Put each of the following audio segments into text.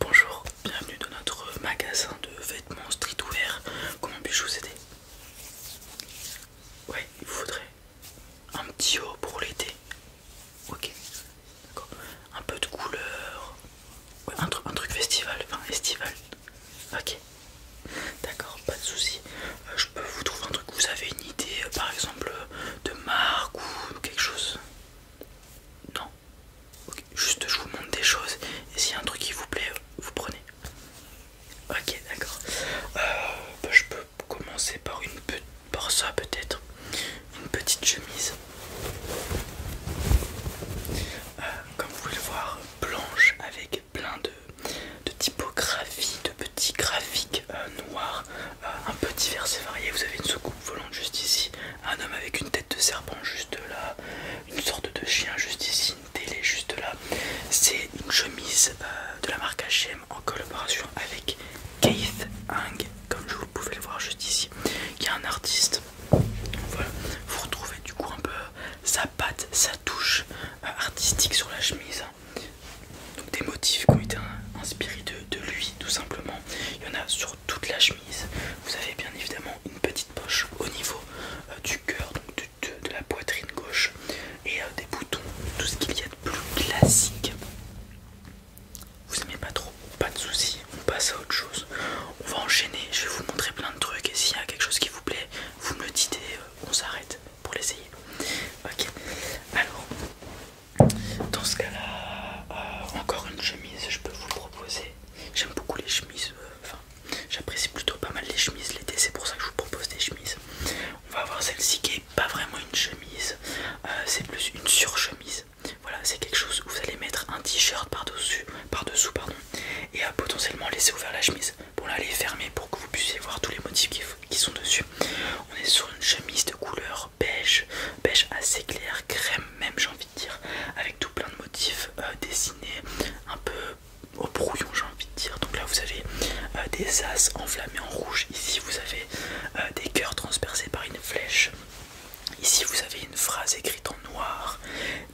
Bonjour, bienvenue dans notre magasin de vêtements streetwear. Comment puis-je vous aider Ouais, il faudrait un petit haut pour l'été. Ok, d'accord. Un peu de couleur. Ouais, un, truc festival, enfin estival. Ok, d'accord, pas de souci. Euh, je peux vous trouver un truc. Vous avez une idée, euh, par exemple, euh, de marque ou quelque chose Non juste je vous montre des choses et s'il y a un truc qui vous plaît, vous prenez. Ok, d'accord. Euh, bah, je peux commencer par une ça peut-être. Une petite chemise. Euh, comme vous le voir, blanche avec plein de, typographies, de petits graphiques euh, noirs, un peu divers et variés. Vous avez une soucoupe volante juste ici, un homme avec une tête de serpent juste là, une sorte de chien juste ici, une télé juste là. C'est une chemise euh, de la marque HM en collaboration avec Keith Hang, comme je vous pouvez le voir juste ici, qui est un artiste. vous retrouvez du coup un peu euh, sa patte, sa touche euh, artistique sur la chemise. Donc des motifs qui ont été inspirés de, de lui tout simplement. Il y en a sur toute la chemise. Vous avez bien évidemment une petite poche au niveau euh, du cœur, donc de, la poitrine gauche et euh, des boutons, tout ce qu'il y a de plus classique. Vous aimez pas trop, pas de souci. on passe à autre chose. On va enchaîner, je vais vous montrer plein de trucs et s'il y a quelque chose qui vous plaît, vous me le dites euh, on s'arrête pour l'essayer. Ok, alors dans ce cas-là, euh, encore une chemise, je peux vous proposer. J'aime beaucoup les chemises, euh, enfin, j'apprécie plutôt pas mal les chemises l'été, c'est pour ça que je vous propose des chemises. On va avoir celle-ci qui est pas vraiment une chemise, euh, c'est plus une surchemise. Voilà, c'est quelque chose où vous allez mettre un t-shirt par-dessus, par-dessous, pardon, et à potentiellement laisser ouvert la chemise. Bon, là, elle est fermée pour que vous puissiez voir tous les motifs qui sont dessus. On est sur une chemise de couleur beige, beige assez clair, crème même j'ai envie de dire, avec tout plein de motifs euh, dessinés un peu au brouillon j'ai envie de dire. Donc là vous avez euh, des as enflammés en rouge, ici vous avez euh, des cœurs transpercés par une flèche, ici vous avez une phrase écrite en noir,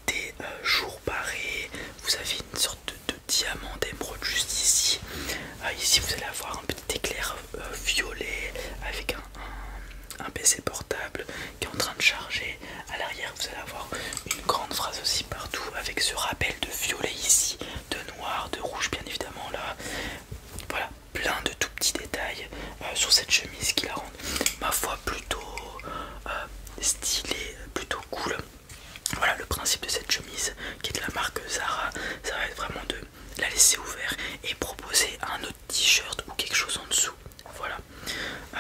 des jours barrés, vous avez une sorte de, diamant d'émeraude juste ici. Ah, ici vous allez avoir un petit éclair euh, violet avec un, PC portable qui est en train de charger. À l'arrière, vous allez avoir une grande phrase aussi partout avec ce rappel de violet ici, de noir, de rouge bien évidemment là. Voilà, plein de tout petits détails euh, sur cette chemise qui la rend ma foi plutôt euh, stylée, plutôt cool. Voilà le principe de cette chemise qui est de la marque Zara, ça va être vraiment de la laisser ouvert et proposer un autre t-shirt ou quelque chose en dessous. Voilà. Euh,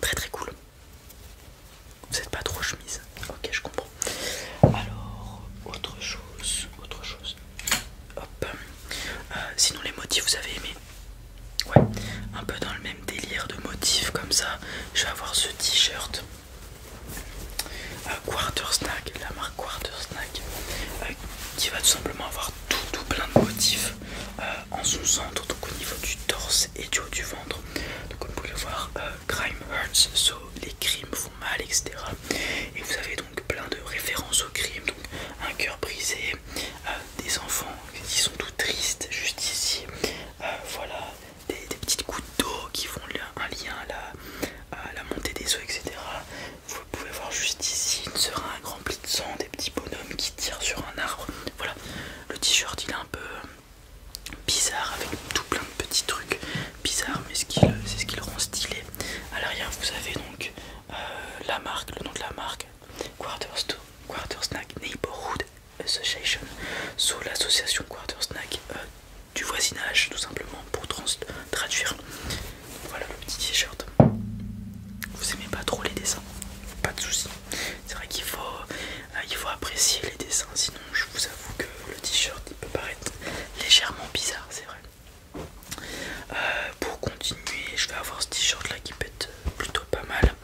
très très cool. Vous n'êtes pas trop chemise. Ok, je comprends. Alors, autre chose. Autre chose. Euh, sinon, les motifs, vous avez aimé Ouais, un peu dans le même délire de motifs comme ça. Je vais avoir ce t-shirt. Euh, quarter snack, la marque quarter snack euh, qui va tout simplement avoir tout, plein de motifs euh, en son centre, donc au niveau du torse et du haut du ventre. Donc comme vous pouvez voir, euh, crime hurts, les crimes font mal, etc. Et vous avez donc plein de références au crime, un cœur brisé, des enfants qui sont tout tristes juste ici, voilà, des, petites gouttes d'eau qui font un lien à à la montée des eaux, etc. Vous pouvez voir juste ici une seringue remplie de sang, des petits bonhommes qui tirent sur un arbre. Voilà, le t-shirt il est un peu euh, bizarre avec tout plein de petits trucs bizarres, mais c'est ce qui le rend stylé. À l'arrière, vous avez donc euh, la marque, le nom de la marque Quarter, Quarter Snack Neighborhood Association, sous l'association Quarter Snack euh, du voisinage, tout simplement pour traduire. Voilà le petit t-shirt. Vous aimez pas trop les dessins Pas de souci C'est vrai qu'il euh, faut, apprécier les dessins, sinon je vous avoue que le t-shirt il peut paraître légèrement bizarre, c'est vrai. Euh, pour continuer, je vais avoir ce t-shirt là qui pète euh, plutôt pas mal.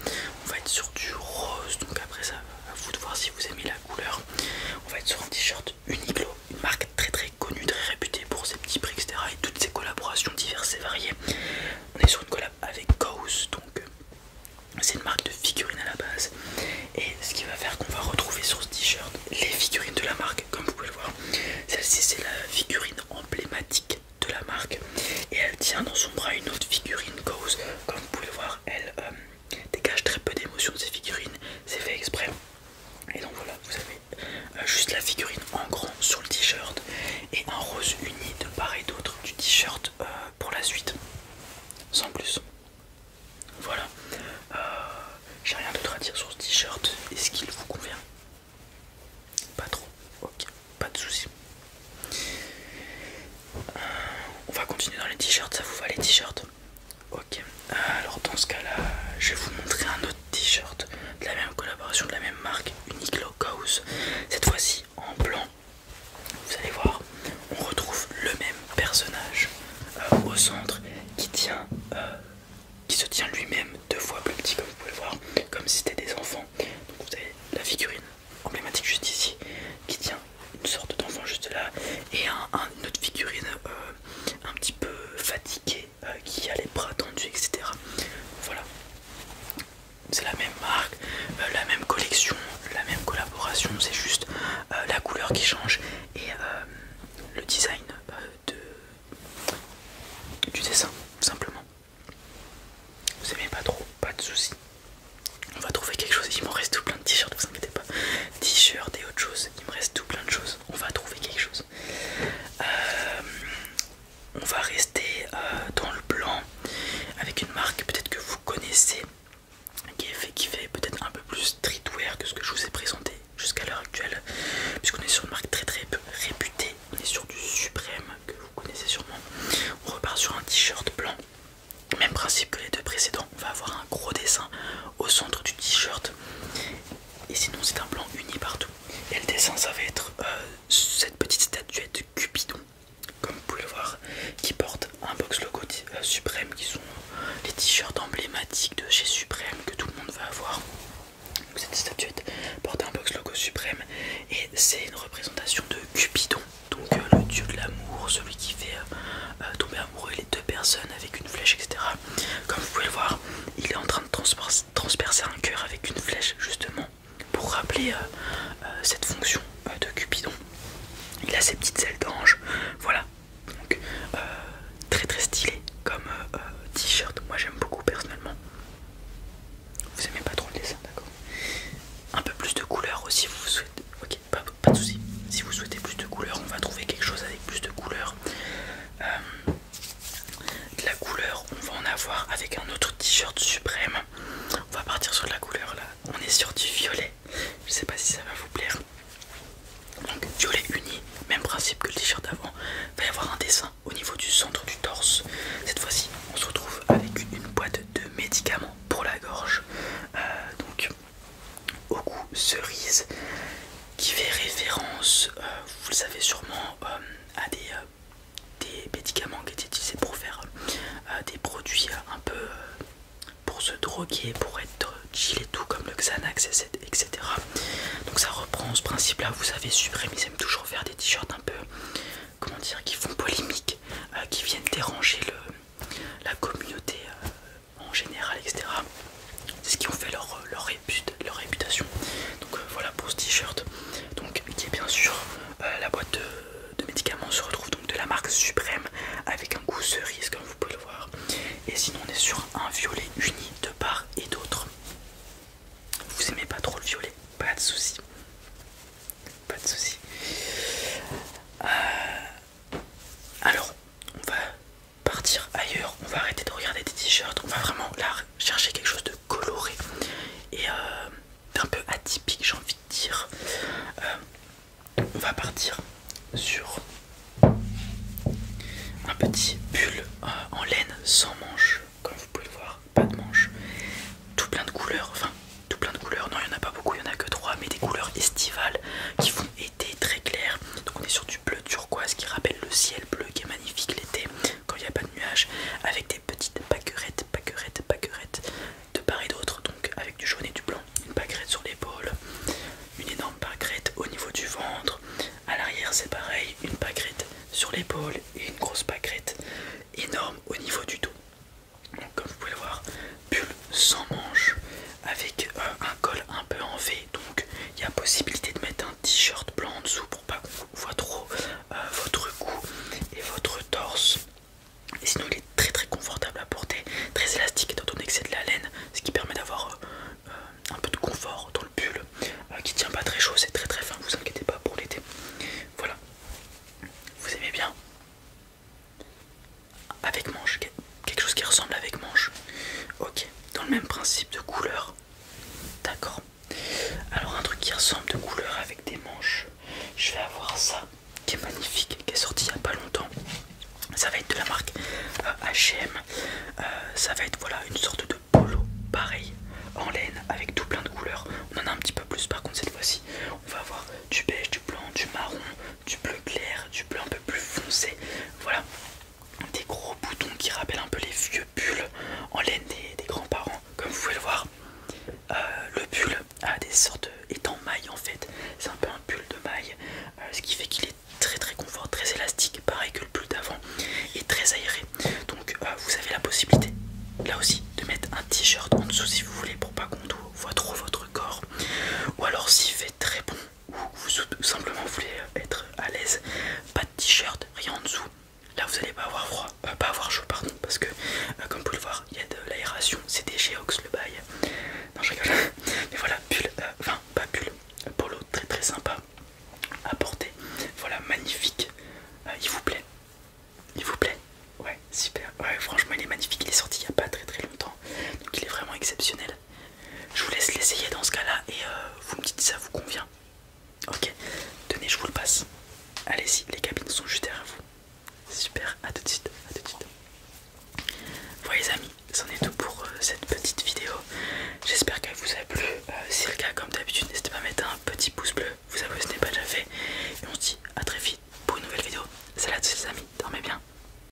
On va être sur du rose, donc après ça, à vous de voir si vous aimez la couleur. On va être sur un t-shirt Uniglo, une marque très très connue, très réputée pour ses petits prix, etc. Et toutes ses collaborations diverses et variées. On est sur une collab avec Goose, donc euh, c'est une marque de figurines à la base. Et ce qui va faire qu'on va retrouver sur ce t-shirt les figurines de la marque, comme vous pouvez le voir. Celle-ci c'est la figurine emblématique de la marque et elle tient dans son bras une autre figurine Goose. Comme vous pouvez le voir, elle euh, dégage très peu d'émotions de ses figurines, c'est fait exprès. Et donc voilà, vous avez euh, juste la figurine en grand sur le t-shirt et un rose uni de part et d'autre du t-shirt euh, pour la suite. Sans plus. Voilà. Euh, j'ai rien d'autre à dire sur ce t-shirt. Est-ce qu'il vous convient Pas trop. Ok, pas de soucis. on va continuer dans les t-shirts. Ça vous va les t-shirts Ok, alors dans ce cas-là, je vais vous montrer un autre t-shirt de la même collaboration, de la même marque, Uniqlo House. Cette fois-ci en blanc. Vous allez voir, on retrouve le même personnage euh, au centre qui tient, euh, qui se tient lui-même deux fois plus petit, comme vous pouvez le voir, comme si c'était des enfants. vous avez la figurine emblématique juste ici qui tient une sorte d'enfant juste là et un, une autre figurine euh, un petit peu fatiguée euh, qui a les bras tendus, etc. Voilà, c'est la même marque, euh, la même collection, la même collaboration, c'est juste euh, la couleur qui change et le design de... du dessin, simplement. Vous aimez pas trop, pas de soucis. On va trouver quelque chose, il m'en reste tout plein de t-shirts, vous inquiétez pas. T-shirts et autre chose, il me reste tout plein de choses. On va trouver quelque chose. Euh, on va rester euh, dans le blanc avec une marque peut-être que vous connaissez qui fait, qui fait peut-être un peu plus streetwear que ce que je vous ai présenté jusqu'à l'heure actuelle puisqu'on est sur une marque très très peu réputée on est sur du suprême que vous connaissez sûrement on repart sur un t-shirt blanc même principe que les deux précédents on va avoir un gros dessin au centre du t-shirt et sinon c'est un plan uni partout. Et le dessin ça va être euh, cette petite statuette Cupidon, comme vous pouvez le voir, qui porte un box logo euh, Suprême, qui sont les t-shirts emblématiques de chez Suprême que tout le monde va avoir. Donc, cette statuette porte un box logo Suprême et c'est une représentation de Cupidon, donc euh, le dieu de l'amour, celui qui fait tomber tomber les deux personnes avec une flèche, etc. Comme vous pouvez le voir, il est en train de transpercer un cœur avec une flèche, justement, pour rappeler euh, euh, cette fonction euh, de Cupidon. Il a ses petites ailes d'ange, voilà. Donc, très très stylé comme t-shirt. Moi j'aime beaucoup personnellement. Vous aimez pas trop le dessin, d'accord Un peu plus de couleurs aussi, vous souhaitez. Ok, pas, de soucis. Si vous souhaitez plus de couleurs, on va trouver quelque chose avec plus de couleurs. Euh, de la couleur on va en avoir avec un autre t-shirt suprême on va partir sur la couleur là on est sur du violet je sais pas si ça va vous plaire donc violet uni même principe que le t-shirt d'avant va y avoir un dessin au niveau du centre du torse cette fois-ci on se retrouve avec une boîte de médicaments pour la gorge euh, donc au goût cerise qui fait référence, euh, vous le savez sûrement, euh, à euh, des, médicaments qui étaient utilisés pour faire des produits un peu pour se droguer, pour être chill et tout, comme le Xanax, etc. Donc ça reprend ce principe-là. Vous savez, Supreme, ils aiment toujours faire des t-shirts un peu, comment dire, qui font polémique, qui viennent déranger la communauté en général, etc. C'est ce qui ont fait leur, leur, réputation. Donc euh, voilà pour ce t-shirt. Donc qui est bien sûr euh, la boîte de, médicaments se retrouve donc de la marque Suprême avec un goût cerise comme vous pouvez le voir. Et sinon on est sur un violet uni de part et d'autre. Vous aimez pas trop le violet, pas de souci. Pas de souci. Euh, alors on va partir ailleurs, on va arrêter de regarder des t-shirts, on va vraiment là chercher quelque chose de coloré et un euh, d'un peu atypique j'ai envie de dire. Euh, on va partir sur un petit pull euh, en laine sans manches, comme vous pouvez le voir, pas de manches, tout plein de couleurs, enfin tout plein de couleurs, non il n'y en a pas beaucoup, il n'y en a que trois, mais des couleurs estivales qui vont être très claires, donc on est sur du bleu turquoise qui rappelle le ciel bleu qui est magnifique l'été quand il n'y a pas de nuages avec des petites paquerettes, pâquerettes, pâquerettes de part et d'autre donc avec du jaune et du blanc. Une pâquerette sur l'épaule, une énorme pâquerette au niveau du ventre. À l'arrière c'est pareil, une pâquerette sur l'épaule et une grosse pâquerette énorme au niveau du dos. Donc comme vous pouvez le voir, bulle sans manche avec un col un peu en V donc il y a possibilité de mettre un t-shirt blanc en dessous pour pas qu'on voit trop euh, votre cou et votre torse et sinon il est très très confortable à porter très élastique et donné que c'est de la laine ce qui permet d'avoir euh, un peu de confort dans le pull euh, qui tient pas très chaud c'est très très fin vous inquiétez pas pour l'été voilà vous aimez bien avec manche, quelque chose qui ressemble avec manche. Ok, dans le même principe de couleur. D'accord. Alors un truc qui ressemble de couleur avec des manches. Je vais avoir ça qui est magnifique, qui est sorti il y a pas longtemps. Ça va être de la marque HM. ça va être voilà une sorte de polo pareil en laine avec tout plein de couleurs. On en a un petit peu plus par contre cette fois-ci. On va avoir du beige, du blanc, du marron, du bleu clair, du bleu un peu plus foncé. Voilà, des gros boutons qui rappellent un peu les vieux pulls en laine des, grands-parents. Comme vous pouvez le voir, euh, le pull a des sortes est en maille en fait. C'est un peu un pull de maille, euh, ce qui fait qu'il est très très confort, très élastique, pareil que le pull d'avant, et très aéré. Donc euh, vous avez la possibilité là aussi de mettre un t-shirt en dessous si vous voulez pour pas qu'on voit trop votre corps. Ou alors s'il fait très bon ou vous simplement voulez être à l'aise, pas de t-shirt, rien en dessous. Là vous allez pas avoir froid, euh, pas avoir chaud pardon, parce que euh, comme vous pouvez le voir, il y a de l'aération, c'est des ox le bail. Non je rigole, mais voilà, pull, euh, enfin pas pull, polo très très sympa à porter. Voilà, magnifique, il vous plaît, il vous plaît, ouais super, ouais franchement il est magnifique, il est sorti il n'y a pas très très longtemps, donc il est vraiment exceptionnel. Je vous laisse l'essayer dans ce cas-là et euh, vous me dites si ça vous convient. Ok, tenez, je vous le passe. Allez-y, les cabines sont juste derrière vous. Super, à tout de suite, à tout de Voilà les amis, c'en est tout pour euh, cette petite vidéo. J'espère qu'elle vous a plu. Euh, si si le cas, comme d'habitude, n'hésitez pas à mettre un petit pouce bleu, vous savez, si ce n'est pas déjà fait. Et on se dit à très vite pour une nouvelle vidéo. Salut à tous les amis, dormez bien.